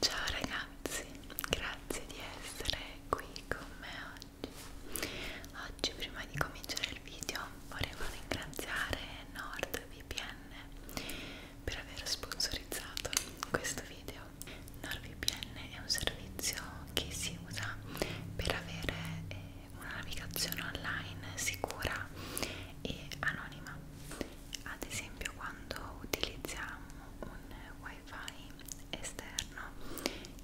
Ciao ragazzi, grazie di essere qui con me oggi. Oggi prima di cominciare il video volevo ringraziare NordVPN per aver sponsorizzato questo video. NordVPN è un servizio che si usa per avere eh, una navigazione online sicura e anonima ad esempio quando utilizziamo un wifi esterno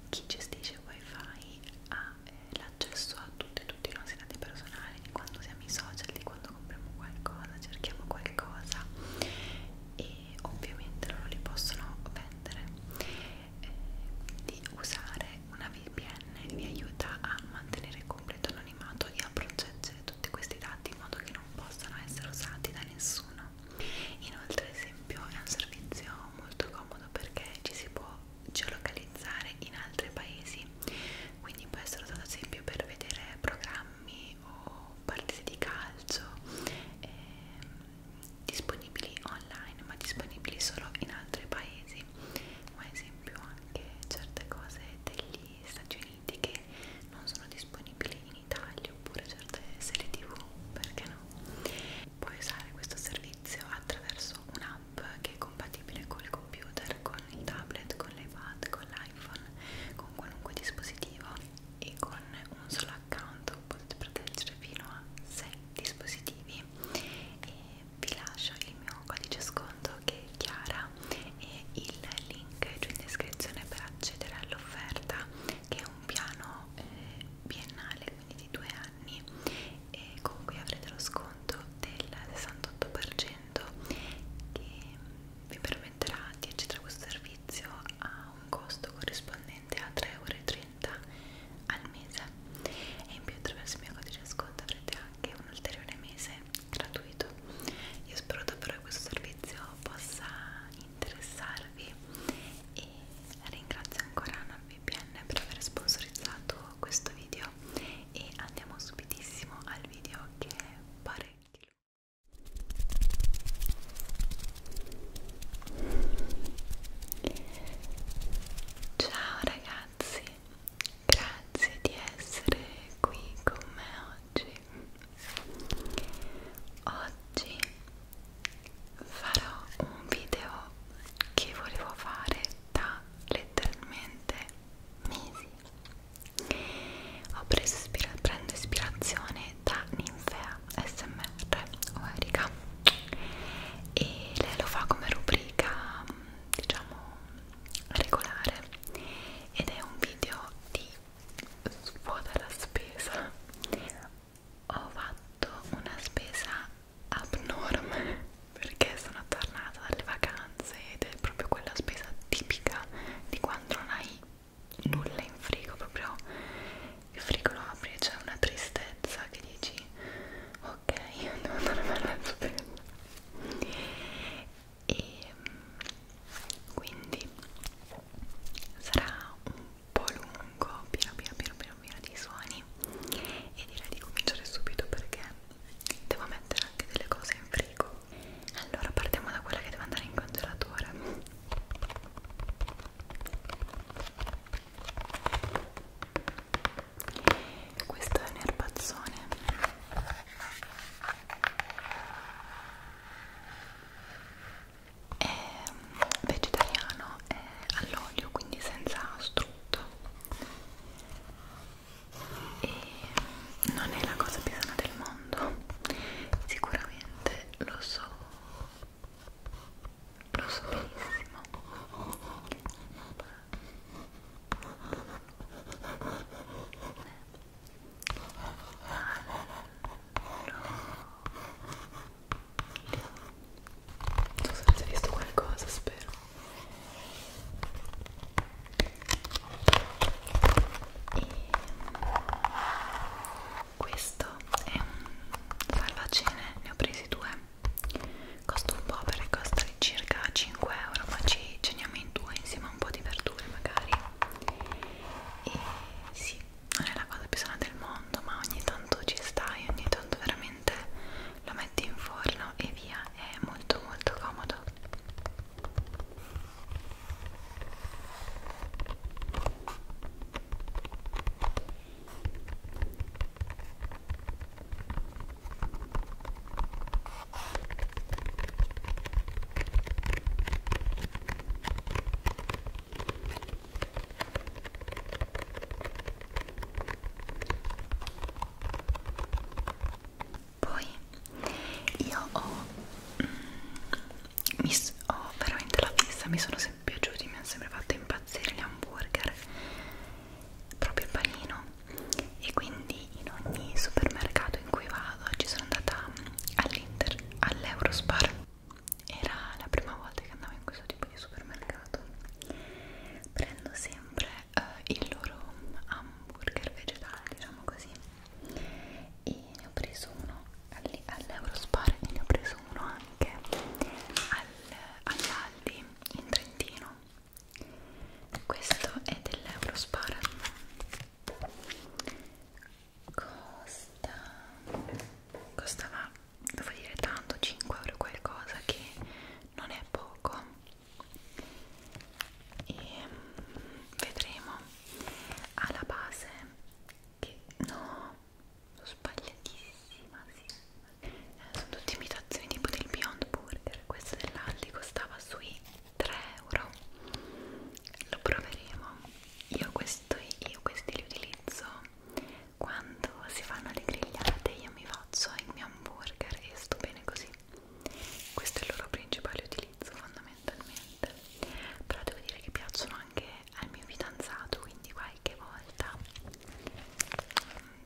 chi gestisce il wifi ha eh, l'accesso a tutti e tutti i nostri dati personali di quando siamo i social di quando compriamo qualcosa cerchiamo qualcosa e ovviamente loro li possono vendere quindi usare una VPN vi aiuta a mantenere il completo anonimato e a proteggere tutti questi dati in modo che non possano essere usati da nessuno inoltre ad esempio è un servizio molto comodo perché ci si può geolocalizzare in altri paesi quindi può essere usato ad esempio per vedere programmi o partite di calcio eh, disponibili online ma disponibili solo in altri paesi ma ad esempio anche certe cose degli Stati Uniti che non sono disponibili in Italia oppure certe serie tv, perché no? Puoi usare questo servizio attraverso un'app che è compatibile col computer, con il tablet, con l'iPad, con l'iPhone, con qualunque dispositivo e con un solo account potete proteggere fino a 6 dispositivi e vi lascio il mio codice sconto che è Chiara e il link giù in descrizione per accedere all'offerta che è un piano eh, biennale quindi di due anni e con cui avrete lo sconto del 68% che vi permetterà di accedere a questo servizio a un costo corrispondente a 3,30 euro al mese e in più attraverso il mio codice sconto avrete anche un ulteriore mese gratuito io spero davvero che questo servizio possa interessarvi e ringrazio ancora NordVPN per aver sponsorizzato questo video e andiamo subitissimo al video che è parecchio Ciao ragazzi, Grazie di essere qui con me oggi. Oggi farò un video che volevo fare da letteralmente mesi. Ho preso ispira prendo ispirazione da Ninfea SMR o Erika e lei lo fa come rubrica diciamo regolare ed è un video di svuota la spesa ho fatto una spesa abnorme perché sono tornata dalle vacanze ed è proprio quella spesa tipica di quando non hai nulla in frigo proprio il frigo lo apri e c'è una tristezza che dici così ok devo andare a fare la e quindi sarà un po' lungo piano piano piano piano piano dei suoni e direi di cominciare subito perché devo mettere anche delle cose in frigo allora partiamo da quella che deve andare in congelatore questo è un erbazzone è vegetariano è all'olio quindi senza strutto e non è la cosa più sana del mondo sicuramente lo so lo so benissimo non so se avete visto qualcosa, spero. E questo è un salvacene, ne ho presi due costa un po' perché costa circa 5 euro ma ci ceniamo in due insieme a un po' di verdure magari e sì non è la cosa più sana del mondo ma ogni tanto ci stai ogni tanto veramente lo metti in forno e via è molto molto comodo poi io ho, mm, mi ho veramente la fissa, mi sono sempre piaciuti, mi hanno sempre fatto impazzire gli hamburger proprio il panino e quindi in ogni supermercato in cui vado ci sono andata mm, all'Inter, all'Eurospar era la prima volta che andavo in questo tipo di supermercato prendo sempre eh, il loro mm, hamburger vegetale diciamo così e ne ho preso uno all'Eurospar e ne ho preso uno anche al, all'Aldi in Trentino questo è dell'Eurospar costa costava devo dire tanto 5 euro qualcosa che non è poco e mm, vedremo alla base che no sono sbagliatissima sì eh, sono tutte imitazioni tipo del Beyond Burger questa dell'Aldi costava sui 3 euro lo proveremo io, questo, io questi li utilizzo quando si fanno le grigliate io mi faccio il mio hamburger e sto bene così questo è il loro principale utilizzo fondamentalmente però devo dire che piacciono anche al mio fidanzato quindi qualche volta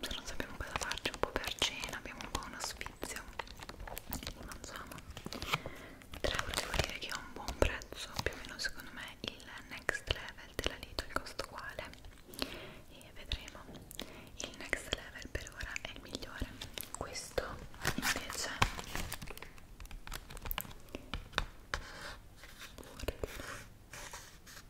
se cioè, non sappiamo cosa farci un po' per cena abbiamo un po' uno sfizio e mangiamo 3 euro devo dire che è un buon prezzo più o meno secondo me il next level della Lidl il costo quale e vedremo il next level per ora è il migliore questo invece è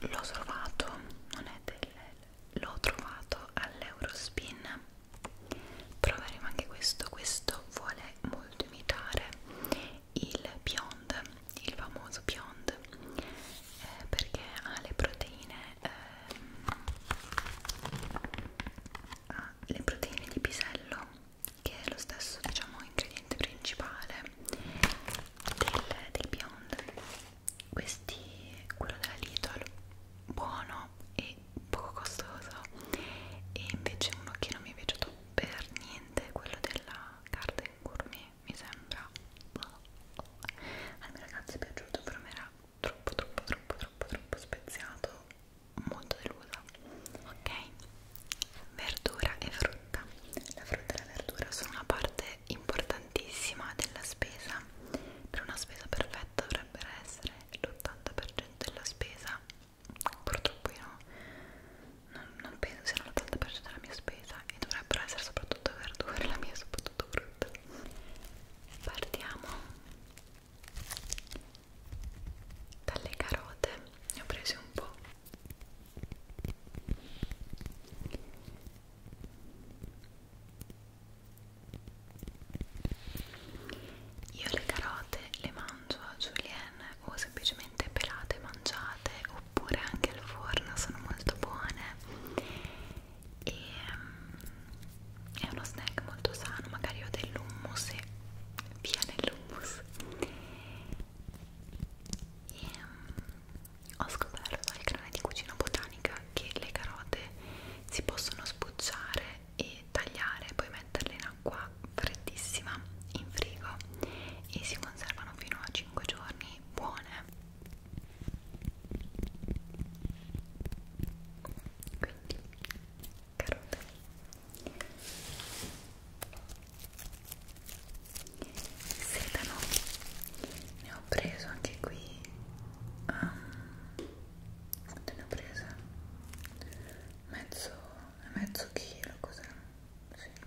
del l'ho trovato non è del l'ho trovato all'Eurospin proveremo anche questo questo vuole molto imitare il Beyond, il famoso Beyond, eh, perché ha le proteine, eh, ha le proteine di pisello, che è lo stesso diciamo ingrediente principale del, del Beyond. Questi, quello della Lidl, buono e poco costoso, e invece uno che non mi è piaciuto per niente, quello della Carta gourmet mi sembra al mio ragazzo è piaciuto però mi era troppo troppo troppo troppo troppo speziato molto delusa ok verdura e frutta la frutta e la verdura sono una parte importantissima della spesa per una spesa perfetta dovrebbero essere l'80% della spesa purtroppo io non, non penso siano l'80% della mia spesa e dovrebbero essere soprattutto verdure, la mia è soprattutto frutta. Partiamo dalle carote, ne ho prese un po'. Io le carote le mangio a julienne o semplicemente pelate e mangiate oppure anche al forno sono molto buone e um, è uno snack molto sano magari ho dell'hummus e via nell'hummus e um, ho scoperto al canale di cucina botanica che le carote si possono sbucciare e tagliare poi metterle in acqua freddissima in frigo e si conservano fino a 5 giorni buone quindi carote sedano ne ho preso anche qui um, quanto ne ho preso? mezzo mezzo chilo cos'è? Sì.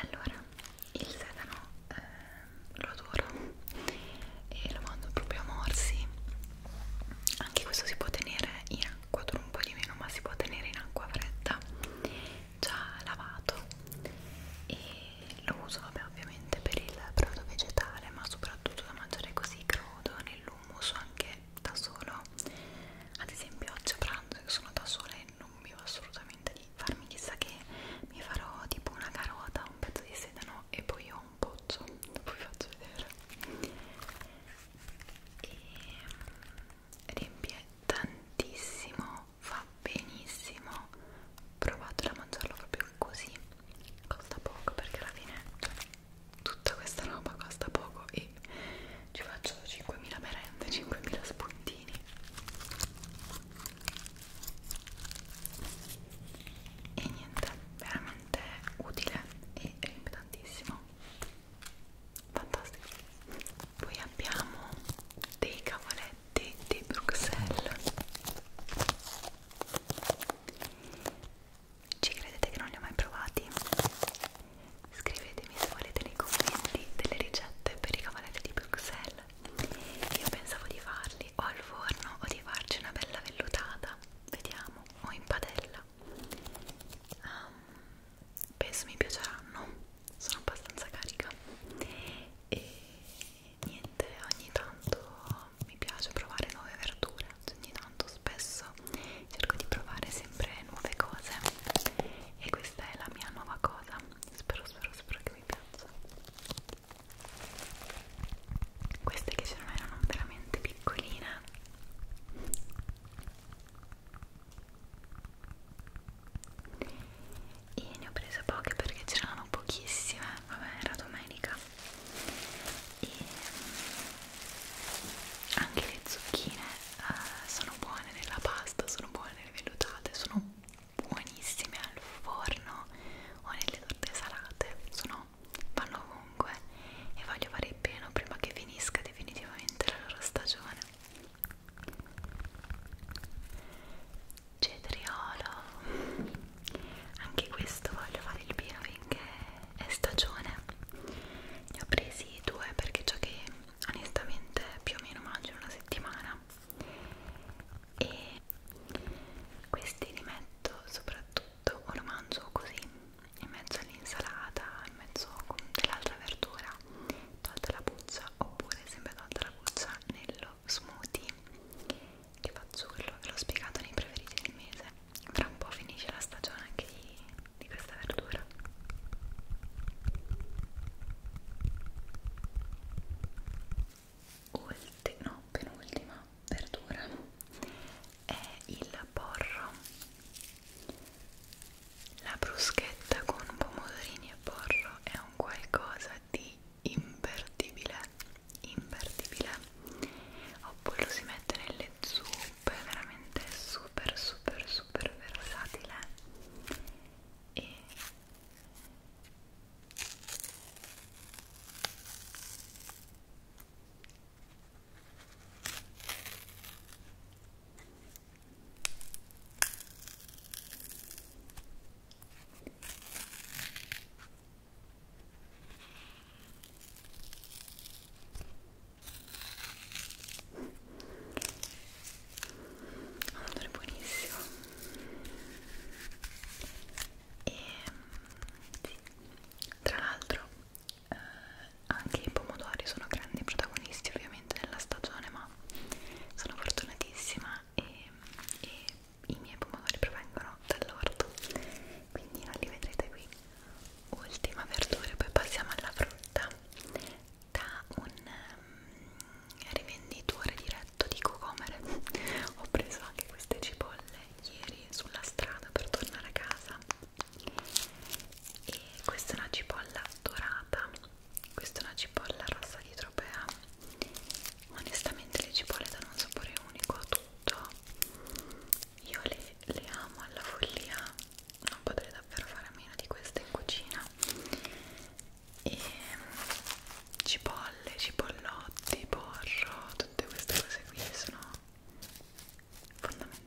Allora, il sedano eh, lo adoro e lo mando proprio a morsi. Anche questo si può tenere in acqua, dura un po' di meno, ma si può tenere in acqua fredda, già lavato. E lo uso, vabbè, ovviamente per il brodo vegetale, ma soprattutto da mangiare così crudo modo, nell'hummus anche da solo ad esempio oggi a pranzo che sono da sola e non mi va assolutamente di farmi chissà che mi farò tipo una carota, un pezzo di sedano e poi ho un pozzo, dopo vi faccio vedere e ehm, riempie tantissimo, fa benissimo provatelo a mangiarlo proprio così costa poco perché alla fine cioè, tutta questa roba costa poco e ci faccio 5.000 merende, 5.000 spuntini e niente, veramente utile e riempie tantissimo fantastico poi abbiamo dei cavoletti di Bruxelles ci credete che non li ho mai provati? Scrivetemi se volete nei commenti delle ricette per i cavaletti di Bruxelles. Io pensavo di farli o al forno o di farci una bella vellutata, vediamo, o in padella. Um, penso mi piaceranno, sono abbastanza carica. E niente, ogni tanto però mi piace provare nuove verdure ogni tanto spesso cerco di provare sempre nuove cose e questa è la mia nuova cosa spero spero spero che vi piaccia queste che c'erano erano veramente piccoline e ne ho prese poche perché c'erano pochissime vabbè era domenica e anche le zucchine eh, sono buone nella pasta, sono buone nelle vellutate, sono buonissime al forno o nelle torte salate, sono, vanno ovunque e voglio fare il pieno prima che finisca definitivamente la loro stagione. Cetriolo anche questo voglio fare il pieno finché è stagione ne ho presi due perché ciò che onestamente più o meno mangio una settimana e questi li metto soprattutto o lo mangio così in mezzo all'insalata in mezzo con dell'altra verdura tolta la buccia oppure sempre tolta la buccia nello smoothie che faccio quello che l'ho spiegato nei preferiti del mese tra un po' finisce la stagione anche di, di questa verdura Ulti, no, penultima verdura è il porro la bruschetta con pomodorini e porro è un qualcosa di imperdibile imperdibile oppure lo si mette nelle zuppe è veramente super super super versatile e un odore buonissimo e sì. tra l'altro eh, anche i pomodori sono grandi protagonisti ovviamente della stagione ma sono fortunatissima e, e i miei pomodori provengono dall'orto quindi non li vedrete qui ultima verdura poi passiamo alla frutta da un um, rivenditore diretto di cocomere ho preso anche queste cipolle ieri sulla strada per tornare a casa e questa è una cipolla dorata questa è una cipolla rossa di tropea onestamente le cipolle danno un sapore unico a tutto io le, le amo alla follia non potrei davvero fare a meno di queste in cucina e cipolle, cipollotti, porro tutte queste cose qui sono fondamentali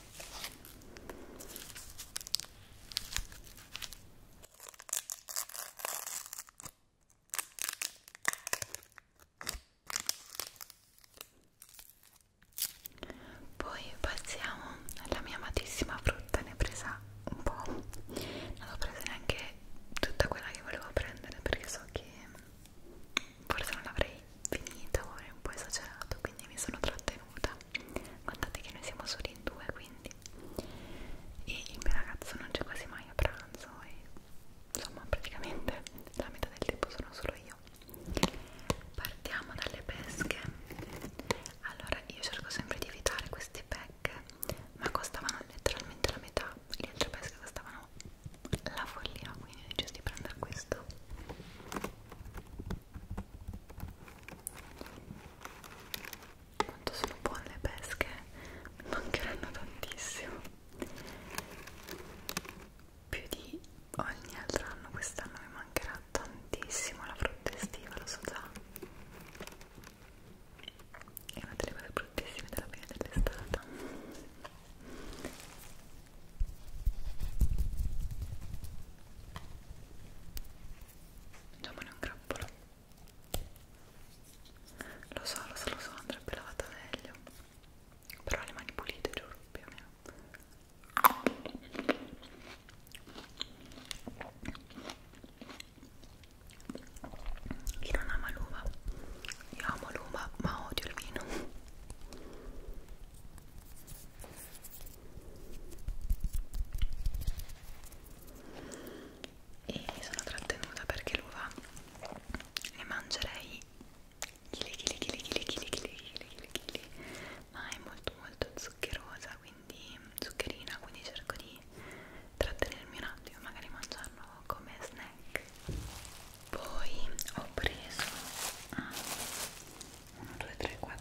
Poi passiamo alla mia amatissima frutta, ne ho presa un po', non ho preso neanche tutta quella che volevo prendere perché so che forse non l'avrei finita, ora è un po' esagerato, quindi mi sono trattenuta. Guardate che noi siamo solo in due, quindi e il mio ragazzo non c'è quasi mai a pranzo e insomma praticamente la metà del tempo sono solo io. Partiamo dalle pesche. Allora io cerco sempre di evitare queste pecche, ma costavano letteralmente la metà, le altre pesche costavano la follia, quindi ho deciso di prendere questo. Quanto sono buone le pesche, mi mancheranno tantissimo. Più di ogni altro anno quest'anno mi mancherà tantissimo la frutta estiva, lo so già. È una delle cose bruttissime della fine dell'estate. Domani è un grappolo. Lo so, lo so, lo so, andrebbe lavata meglio. Però le mani pulite, giuro, più o meno. Chi non ama l'uva? Io amo l'uva, ma odio il vino e mi sono trattenuta perché l'uva ne mangerei chili chili chili chili chili chili chili chili ma è molto molto zuccherosa quindi zuccherina quindi cerco di trattenermi un attimo magari mangiarlo come snack poi ho preso ah, 1, 2, 3, 4,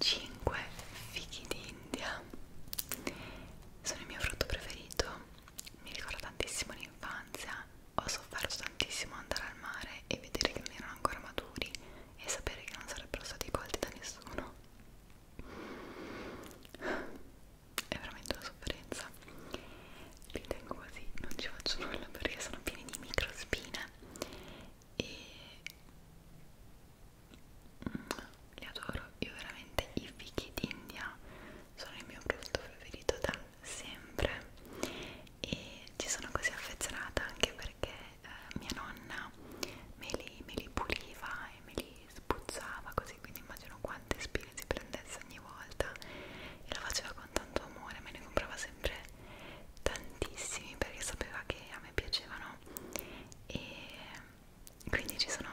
5 5 fichi d'India sono il mio frutto preferito mi ricorda tantissimo l'infanzia ho sofferto tantissimo andare al mare e vedere che non erano ancora maturi e sapere che non sarebbero stati colti da nessuno è veramente una sofferenza li tengo così, non ci faccio nulla perché sono pieni di microspine e mm, li adoro, io veramente i fichi d'India sono il mio prodotto preferito da sempre e ci sono così affezionata anche perché eh, mia nonna me li, me li puliva e me li spruzzava così quindi immagino quante spine si prendesse ogni volta e la faceva con tanto amore, me ne comprava sempre tantissimi perché sapeva che a me piacevano e quindi ci sono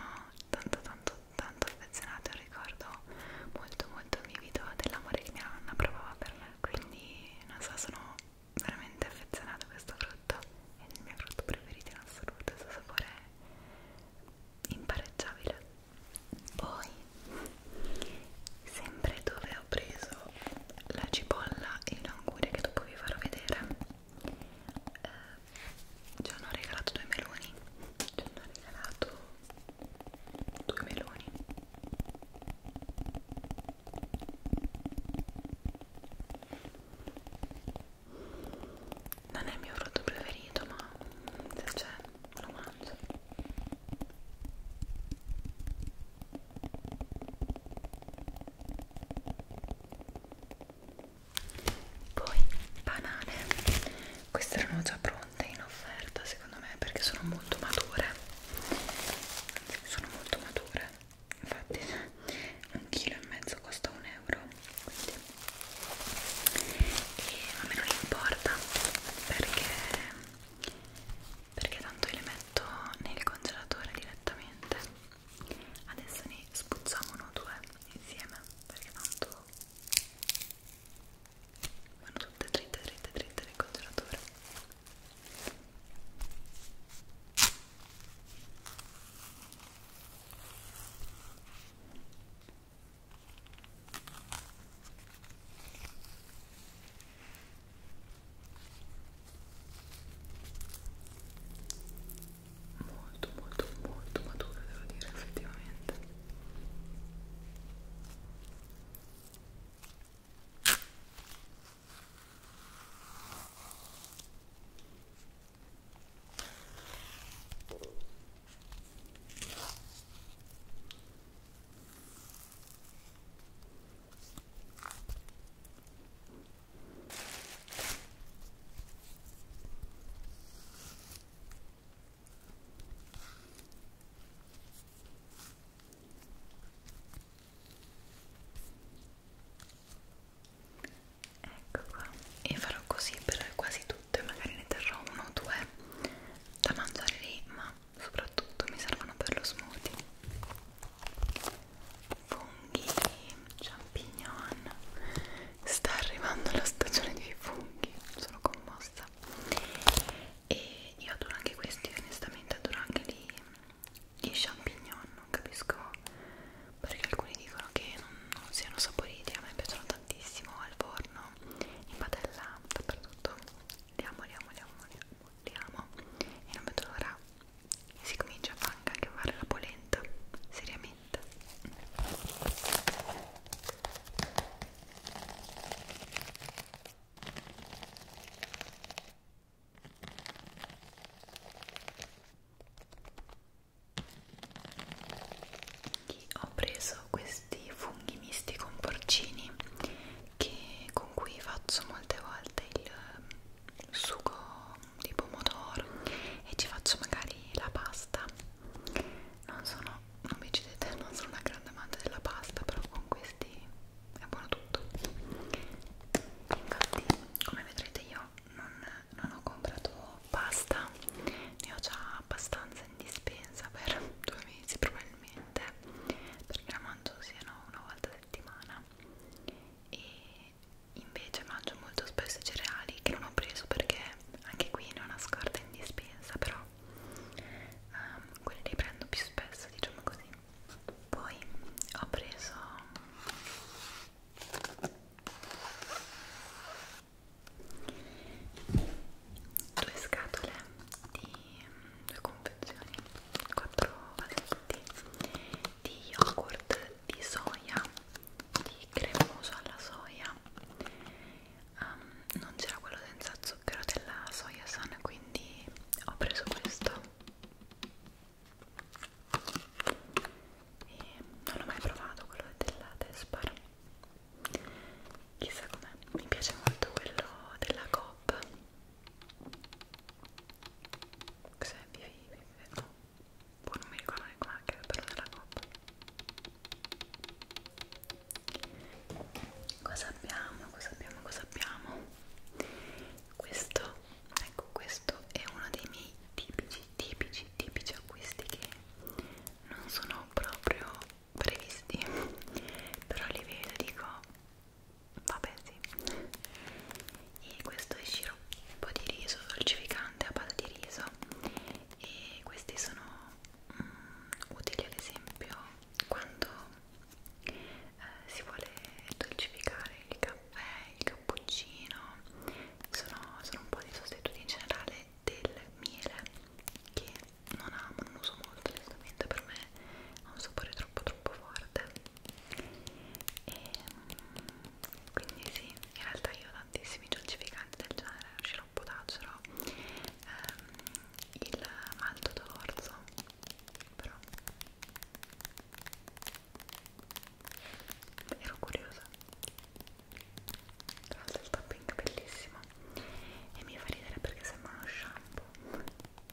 tanto tanto tanto affezionata un ricordo molto molto vivido dell'amore che mia nonna provava per me quindi non so sono veramente affezionata a questo frutto è il mio frutto preferito in assoluto il suo sapore è impareggiabile poi sempre dove ho preso la cipolla e l'anguria che dopo vi farò vedere eh, ci hanno regalato due meloni ci hanno regalato due meloni non è il mio frutto preferito ma se c'è lo mangio poi banane queste erano già pronte in offerta secondo me perché sono molto mature sono molto mature infatti un chilo e mezzo costa un euro quindi e a me non importa perché perché tanto io le metto nel congelatore direttamente adesso ne spuzziamo uno o due insieme perché tanto vanno tutte dritte dritte dritte nel congelatore molto molto molto matura devo dire effettivamente Ecco qua, e farò così per quasi tutte, magari ne terrò uno o due da mangiare lì, ma soprattutto mi servono per lo smoothie funghi, champignon sta arrivando la stagione dei funghi sono commossa e io adoro anche questi onestamente adoro anche gli, gli champignon non capisco perché alcuni dicono che non, non siano saporiti a me piacciono tantissimo al forno in padella dappertutto li amo li amo li amo li amo vogliamo e non vedo l'ora si comincia anche a fare la polenta seriamente ho preso questi funghi misti con porcini che, con cui faccio molte volte il sugo di pomodoro e ci faccio magari la pasta non sono, non mi uccidete, non sono una grande amante della pasta però con questi è buono tutto infatti come vedrete io non, non ho comprato pasta ne ho già abbastanza in dispensa per due mesi probabilmente naturalmente perché la mangio siano una volta a settimana e invece mangio molto spesso i cereali che non ho preso perché anche qui non ho scorta in dispensa però um, quelli li prendo più spesso diciamo così poi ho preso due scatole di due confezioni, 4 valetti di yogurt di soia, di cremoso alla soia. Um, non c'era quello senza zucchero della soia sana, quindi ho preso questo. E non l'ho mai provato quello della Despar. Chissà com'è, mi piace molto quello della Coop Xavier Ivi, no, poi boh, non mi ricordo neanche com'è che però nella coppa cosa abbiamo, cosa abbiamo, cosa abbiamo questo, ecco questo è uno dei miei tipici, tipici, tipici acquisti che non sono proprio previsti però li vedo e dico vabbè sì e questo è sciroppo di riso dolcificante a base di riso e questi sono mm, utili ad esempio quando eh, si vuole dolcificare il caffè, il cappuccino sono, sono un po' di sostituti in generale del miele che non amo, non uso molto onestamente per me ha un sapore troppo troppo forte e ehm, quindi sì, in realtà io ho tantissimi dolcificanti del genere, lo sciroppo d'acero, ehm, il malto d'orzo, però ero curiosa tra l'altro il tapping bellissimo e mi fa ridere perché sembra uno shampoo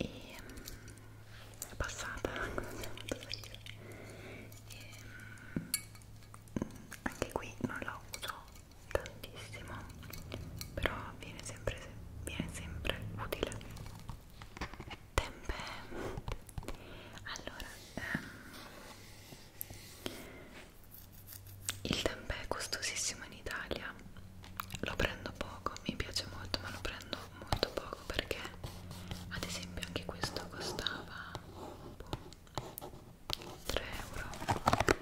e mm, è passata e, mm, anche qui non la uso tantissimo però viene sempre, viene sempre utile Tempe. Allora, ehm, il tempe è costosissimo in Italia. Lo prendo poco, mi piace molto, ma lo prendo molto poco perché ad esempio anche questo costava boh, 3 euro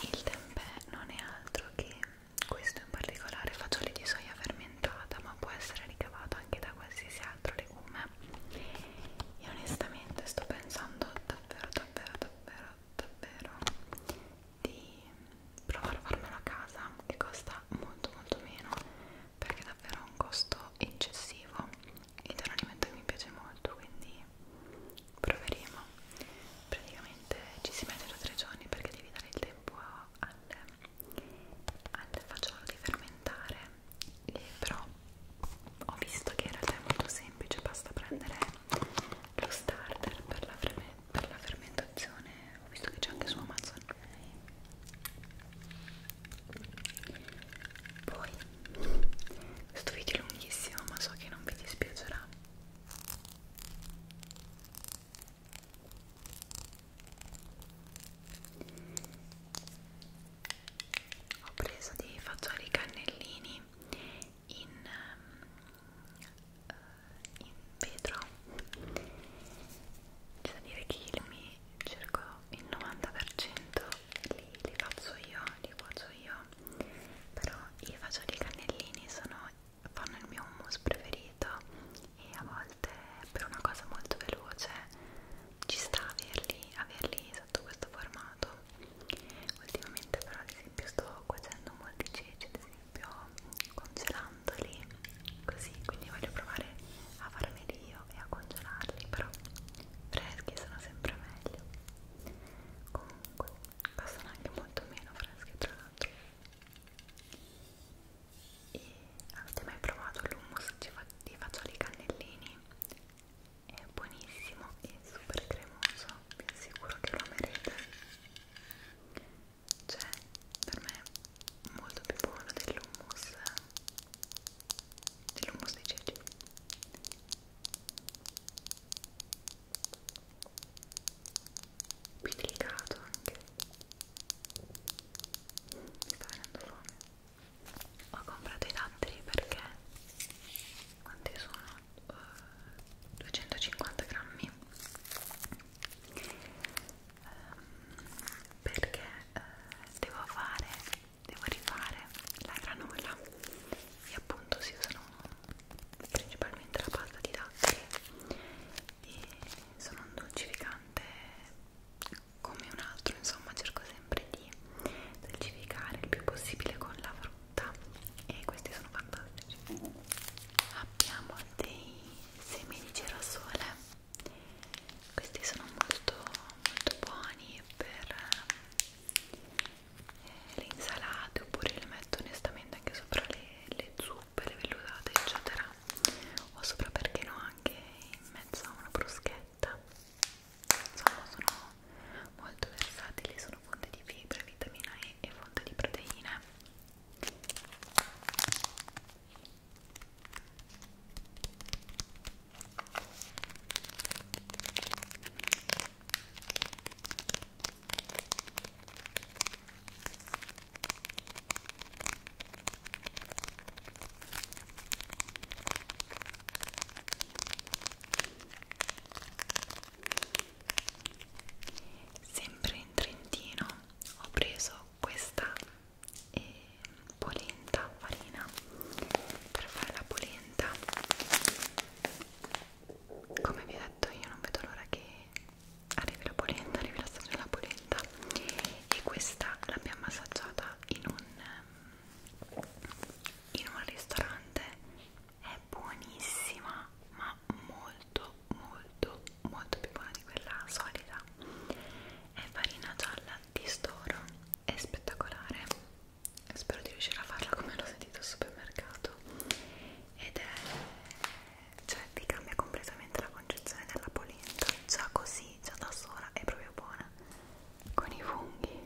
il tempeh non è altro che questo in particolare fagioli di soia fermentata, ma può essere ricavato anche da qualsiasi altro legume. E onestamente sto pensando davvero, davvero, davvero, davvero di provare a farmelo a casa che costa molto molto meno perché è davvero un costo eccessivo ed è un alimento che mi piace molto quindi proveremo praticamente ci si mette da tre giorni perché devi dare il tempo al, al fagiolo di fermentare e però ho visto che in realtà è molto semplice basta prendere lo starter per la, per la fermentazione ho visto che c'è anche su Amazon poi questo video è lunghissimo ma so che non vi dispiacerà ho preso dei fagioli cannellini in, ehm, eh, in vetro c'è da dire che mi circa il 90% li, li faccio io, li cuocio io però i fagioli cannellini sono, fanno il mio hummus preferito e a volte per una cosa molto veloce ci sta averli, averli sotto questo formato ultimamente però ad esempio sto cuocendo molti ceci ad esempio congelandoli così quindi voglio provare a farmeli io e a congelarli, però freschi sono sempre meglio. Comunque, costano anche molto meno freschi tra l'altro. E avete mai provato l'hummus di fagioli cannellini? È buonissimo e super cremoso, vi assicuro che lo amerete. Cioè, per me è molto più buono dell'hummus dell'hummus di ceci più delicato anche mi sta venendo fame ho comprato i datteri perché quanti sono? Uh, eh, 250 grammi um, perché uh, devo fare devo rifare la granola e appunto si usano principalmente la pasta di datteri e sono un dolcificante come un altro insomma cerco sempre di dolcificare il più possibile con la frutta e questi sono fantastici abbiamo dei semi di girasole questi sono molto molto buoni per eh, le insalate oppure li metto onestamente anche sopra le, le zuppe, le vellutate eccetera o sopra perché no anche in mezzo a una bruschetta insomma sono molto versatili sono fonte di fibra, vitamina E e fonte di proteine Sempre in Trentino ho preso questa e polenta, farina per fare la polenta come vi ho detto io non vedo l'ora che arrivi la polenta, arrivi la stagione della polenta e questa l'abbiamo assaggiata in un in un ristorante è buonissima ma molto molto molto più buona di quella solita è farina gialla di storo è spettacolare spero di riuscire a farla come l'ho sentito al supermercato ed è cioè ti cambia completamente la concezione della polenta già così, già da sola è proprio buona con i funghi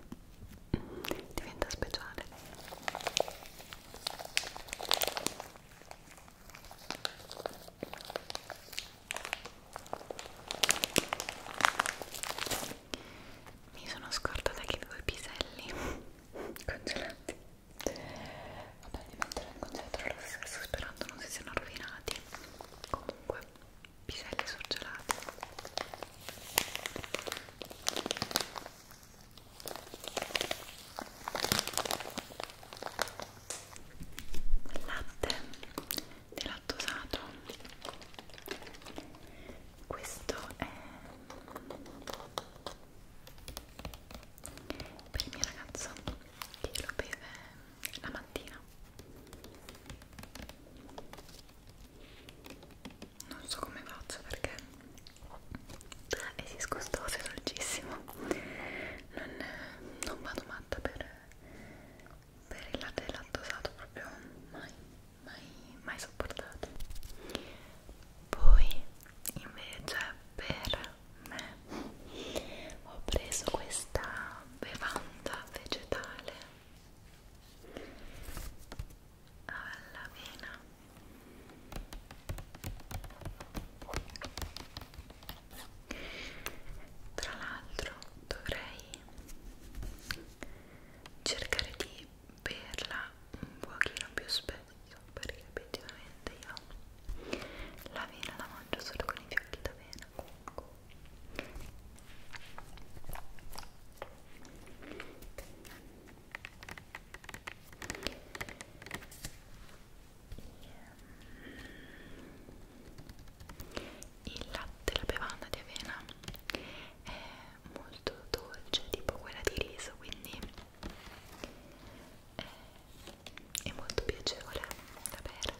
diventa speciale mi sono scordata che avevo i piselli congelati. Vabbè, li metterò in congelatore lo stesso sperando non si siano rovinati. Comunque, piselli surgelati. Latte delattosato questo è per il mio ragazzo che lo beve la mattina non so come faccio perché è disgustoso e dolcissimo non, non vado matta per per il latte e lattosato proprio mai, mai, mai sopportato poi invece per me ho preso questa bevanda vegetale alla vena tra l'altro dovrei cercare di berla un pochino più spesso perché effettivamente io la vena la mangio solo con i fiocchi d'avena comunque il latte, la bevanda di avena è molto dolce, tipo quella di riso, quindi è, è molto piacevole da bere.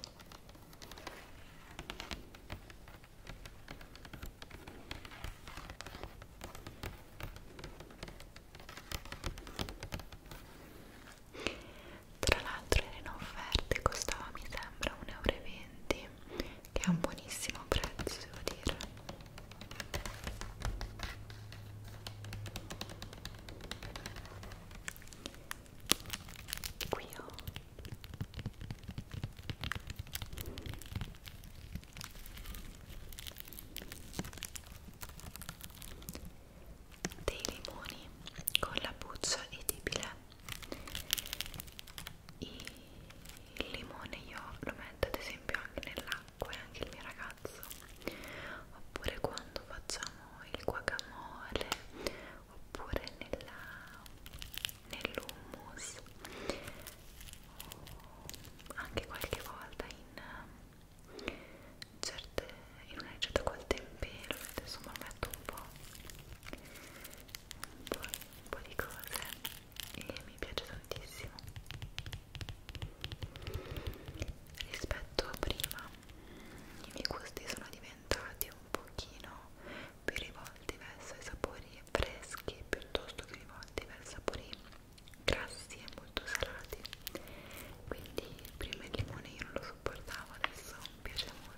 Tra l'altro era in offerta e costava mi sembra 1,20 euro che ha un buonissimo prezzo devo dire qui ho oh. dei limoni con la buccia edibile il limone io lo metto ad esempio anche nell'acqua e anche il mio ragazzo oppure quando facciamo il guacamole oppure nell'hummus nell anche qualche volta in certe in una ricetta col tempero insomma lo metto un po' poi un po' di cose e mi piace tantissimo rispetto a prima i miei gusti sono diventati un pochino più rivolti verso i sapori freschi piuttosto che rivolti verso sapori grassi e molto salati quindi prima il limone io non lo sopportavo adesso mi piace molto allora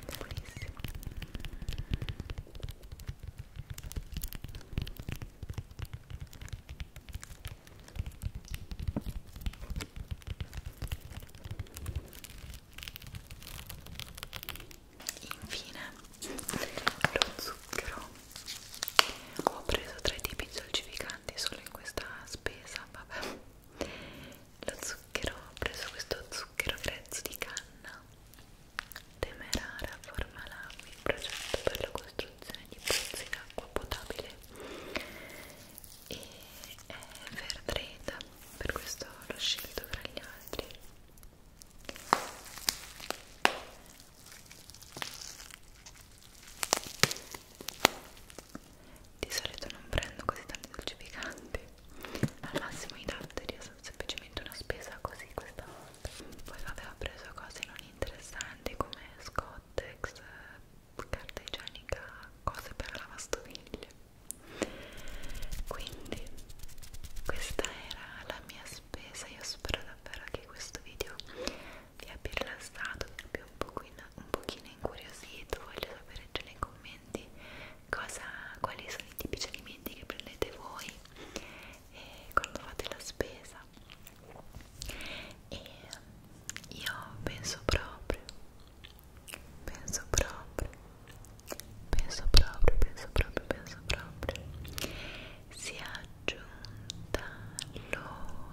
è buonissimo Infine, lo zucchero. Ho preso tre tipi dolcificanti solo in questa spesa, vabbè lo zucchero, ho preso questo zucchero grezzo di canna Temerara forma l'AMI, progetto per la costruzione di pozzi d'acqua potabile e è fair trade, per questo l'ho scelto tra gli altri di solito non prendo così tanti dolci picanti al massimo i datteri è semplicemente una spesa così questa volta poi vabbè ho preso cose non interessanti come scottex carta igienica cose per la lavastoviglie quindi questa era la mia spesa io spero davvero che questo video vi abbia rilassato vi abbia un pochino un pochino incuriosito, voglio sapere già nei commenti cosa, quali sono i tipici alimenti che prendete voi e quando fate la spesa e io penso proprio penso proprio penso proprio penso proprio penso proprio sia giunta l'ora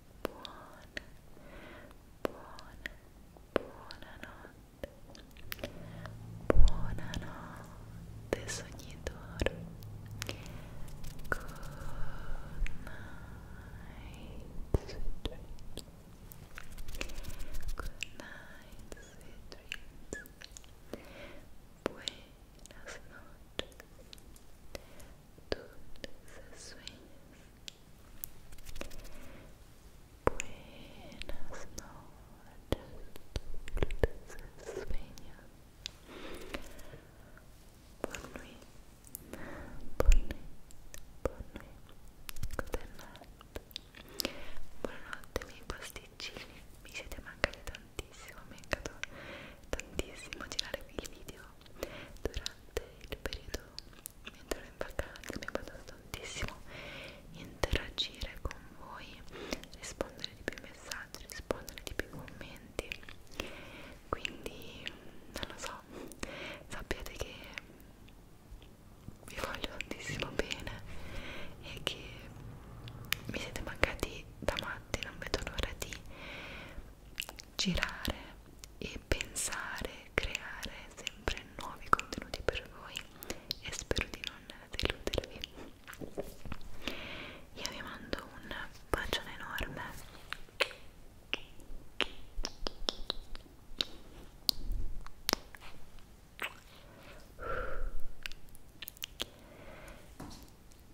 buona, buona, buonanotte, buonanotte sognatore, good night sweet dreams, good night sweet dreams, buenas noches, dulces sueños Buenas noches, dulces sueños. Bonne nuit, bonne nuit, bonne nuit. Good siete mancati tantissimo, mi è mancato tantissimo girare il video durante il periodo mentre ero in vacanza mi ha aiutato tantissimo interagire con voi, rispondere di più messaggi, rispondere di più commenti quindi non lo so, sappiate che vi voglio tantissimo bene e che mi siete mancati da matti, non vedo l'ora di girare e pensare, creare sempre nuovi contenuti per voi e spero di non deludervi. Io vi mando un bacione enorme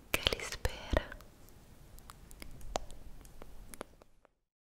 che li spera